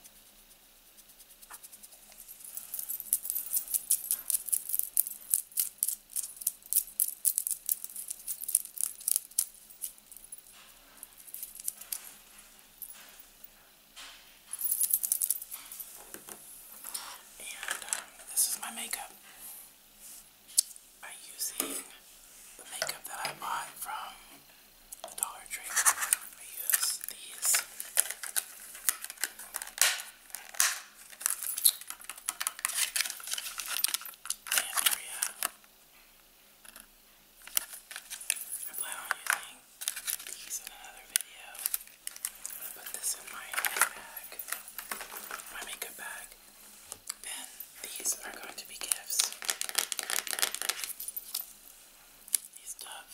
And um, this is my makeup. I'm using the makeup that I bought from the Dollar Tree. I use these. Andrea. I plan on using these in another video. I'm gonna put this in my bag, my makeup bag. Then these are going to be gifts. These Dove.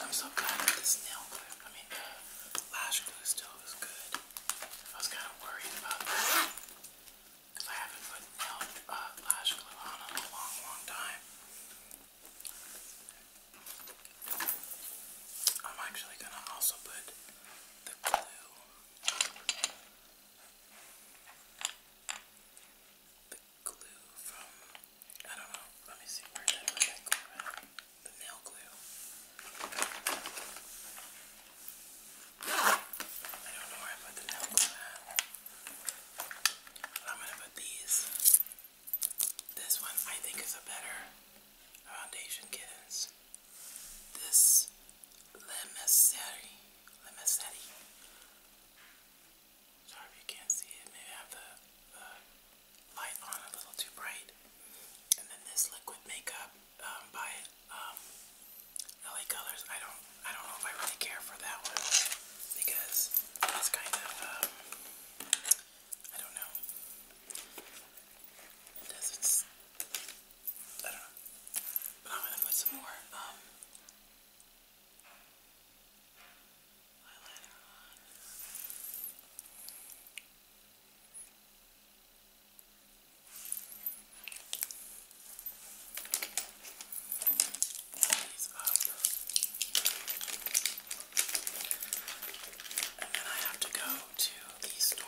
I'm so glad that this nail clip, I mean, the lash glue still is good. I was kind of worried about that because I haven't put uh, lash glue on in a long, long time. I'm actually gonna also put the glue, glue from, I don't know, let me see where that, where that glue went. The nail glue. I don't know where I put the nail glue I'm gonna put these. This one I think is a better foundation kittens. This Le Messerie. Sorry if you can't see it. Maybe I have the, light on a little too bright. And then this liquid makeup um, by um, LA Colors. I don't I don't know if I really care for that one because it's kind of um, I don't know. It doesn't. I don't know. But I'm gonna put some more eyeliner on. And then I have to go to the store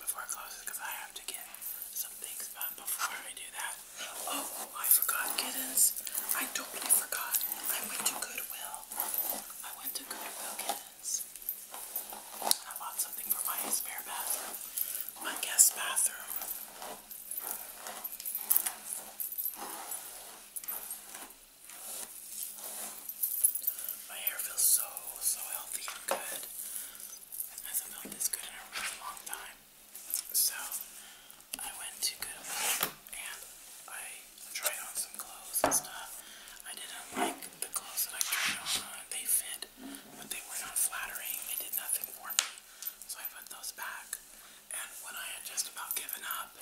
before it closes because I have to get some things. But before I do that, Oh, I forgot Giddens. I totally forgot. I went to Goodwill. I went to Goodwill kittens. I bought something for my spare bathroom. My guest bathroom. My hair feels so, so healthy and good. It hasn't felt this good in a really long time so I went to Goodwill and I tried on some clothes and stuff. I didn't like the clothes that I tried on. They fit, but they were not flattering. They did nothing for me. So I put those back. And when I had just about given up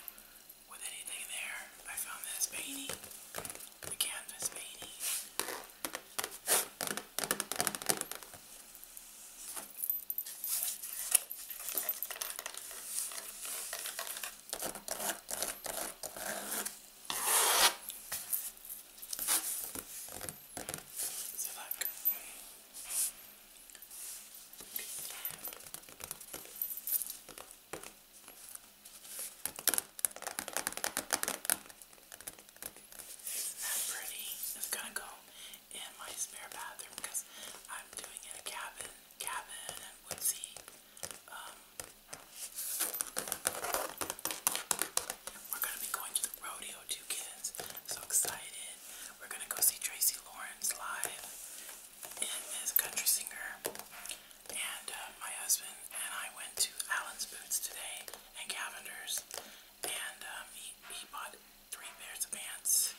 with anything there, I found this painting. The canvas painting. So tak. Isn't that pretty? It's gonna go in my spare bathroom because I'm doing it a cabin, cabin and woodsy, um, we're gonna be going to the rodeo too kids, so excited, we're gonna go see Tracy Lawrence live, and a country singer, and uh, my husband and I went to Allen's Boots today, and Cavender's, and um, he, he bought three pairs of pants,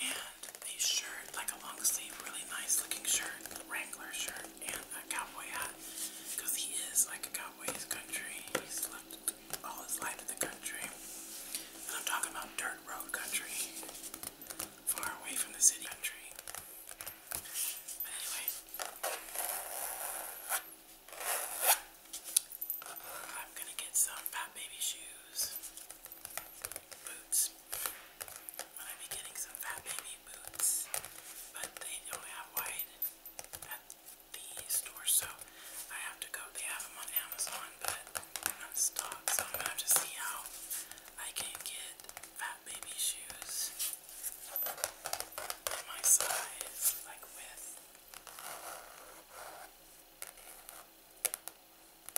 and a shirt, like a long sleeve, really nice looking shirt, Wrangler shirt, and a cowboy hat. Because he is like a cowboy in country. He's lived all his life in the country. I'm talking about dirt road country, far away from the city country. But anyway, I'm gonna get some Pat Baby shoes, boots. I'm gonna be getting some Pat Baby boots, but they don't have white at the store, so I have to go. They have them on Amazon, but on stock, so I'm gonna have to see how I can get Fat Baby shoes in my size, like width. This is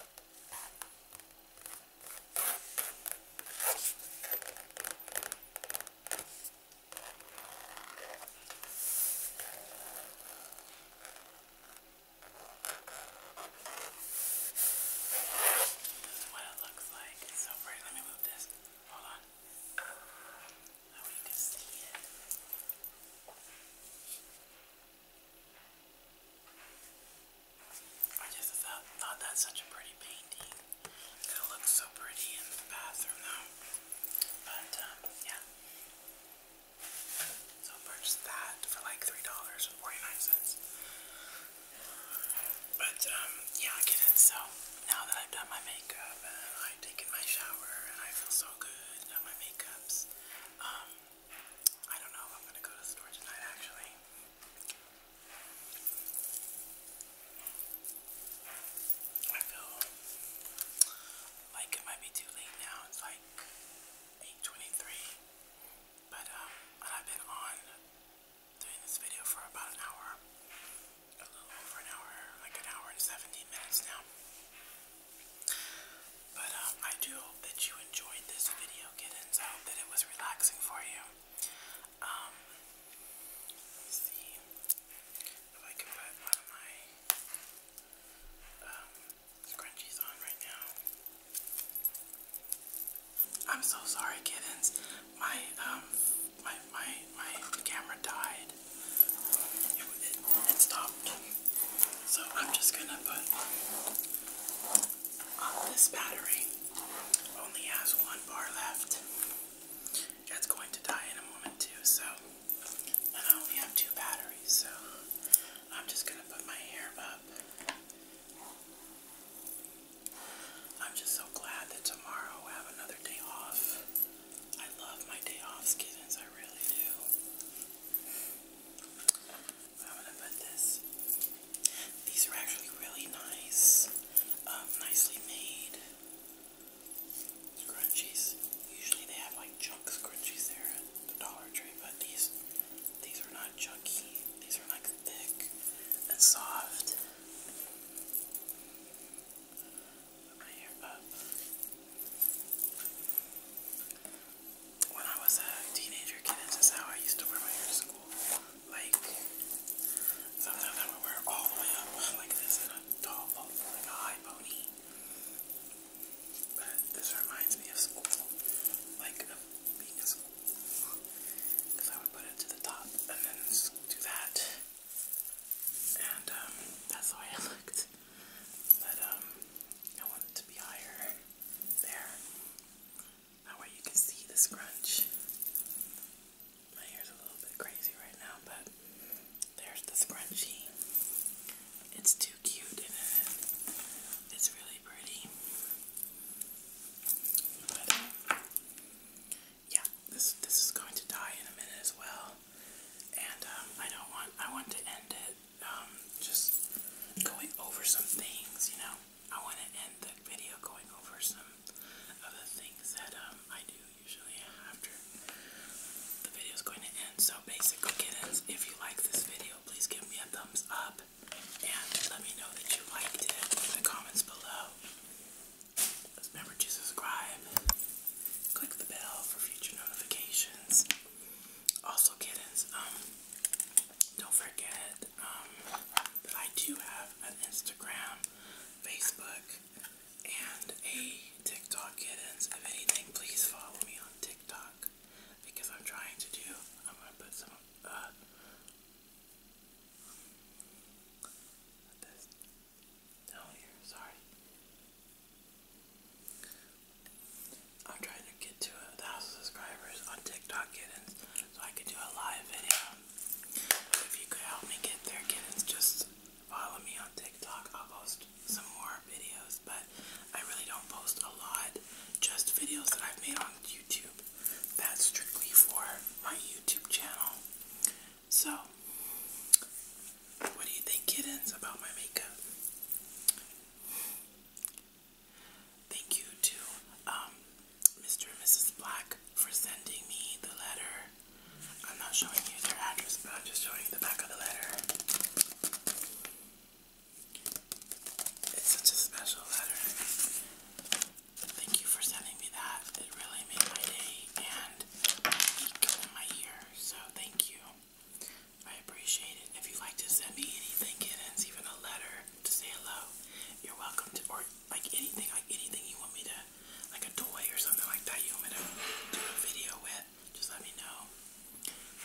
what it looks like. It's so pretty. Let me move this. Hold on. I want you to see it. I just thought, thought that's such a pretty painting. It looks so pretty in the bathroom though. But um, yeah. So purchased that for like $3.49. But um, yeah, I get it. So now that I've done my makeup and I've taken my shower and I feel so good about my makeups, um, I don't know if I'm gonna go to the store tonight actually. I feel like it might be too late now. It's like 8.23. But um, I've been on doing this video for about an hour. A little over an hour, like an hour and 17 minutes now. But um, I do hope that you enjoyed this video, kittens. I hope that it was relaxing for you. Um, let's see if I can put one of my um, scrunchies on right now. I'm so sorry, kittens. My my my my camera died. it stopped. So I'm just gonna put this battery. Only has one bar left. That's going to die in a moment too, so I only have two batteries, so I'm just gonna put my hair up. I'm just so glad that tomorrow I have another day off. I love my day off, kittens. I really do. I'm gonna put this. These are actually really nice, um, nicely made scrunchies. Usually they have like junk scrunchies there at the Dollar Tree, but these these are not junky. These are like thick and soft. Put my hair up when I was a teenager kid, this is how I used to wear my hair to school. Like, sometimes I would wear it all the way up <laughs> like this in a tall pony, But this reminds me of school, like of being at school. Because I would put it to the top and then do that. And um, that's the way I <laughs> looked. But um, I wanted to be higher. There. That way you can see the scrunch. My hair's a little bit crazy right now, but there's the scrunchie. It's too cute, isn't it? It's really pretty. But, yeah, this this is going to die in a minute as well, and um, I don't want I want to end it um, just going over some things, you know. I want to end the video going over some of the things that um, I do usually after the video is going to end. So basically, kittens, if you like this video, please give me a thumbs up and let me know that you liked it in the comments below. Remember to subscribe, click the bell for future notifications. Also, kittens, um, don't forget um, that I do have an Instagram, Facebook, and a TikTok, kittens. If anything, please follow me on TikTok because I'm trying to do, I'm going to put some, uh, this down oh, here, sorry. I'm trying to get to a thousand subscribers on TikTok kittens so I can do a live video. if you could help me get there kittens, just follow me on TikTok. I'll post some more videos, but I really don't post a lot. Just videos that I've made on YouTube. That's strictly for my YouTube channel. So, what do you think, kittens, about my makeup? Thank you to Mr. Um, and Mrs. Black for sending me the letter. I'm not showing you their address, but I'm just showing you the back of the letter. It's such a special letter. Thank you for sending me that. It really made my day and my week and my year. So thank you. I appreciate it. If you'd like to send me anything, even a letter to say hello, you're welcome to, or like anything, like anything you want me to, like a toy or something like that you want me to do a video with, just let me know.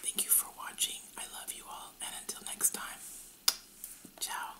Thank you for watching. I love you all, and until next time, ciao.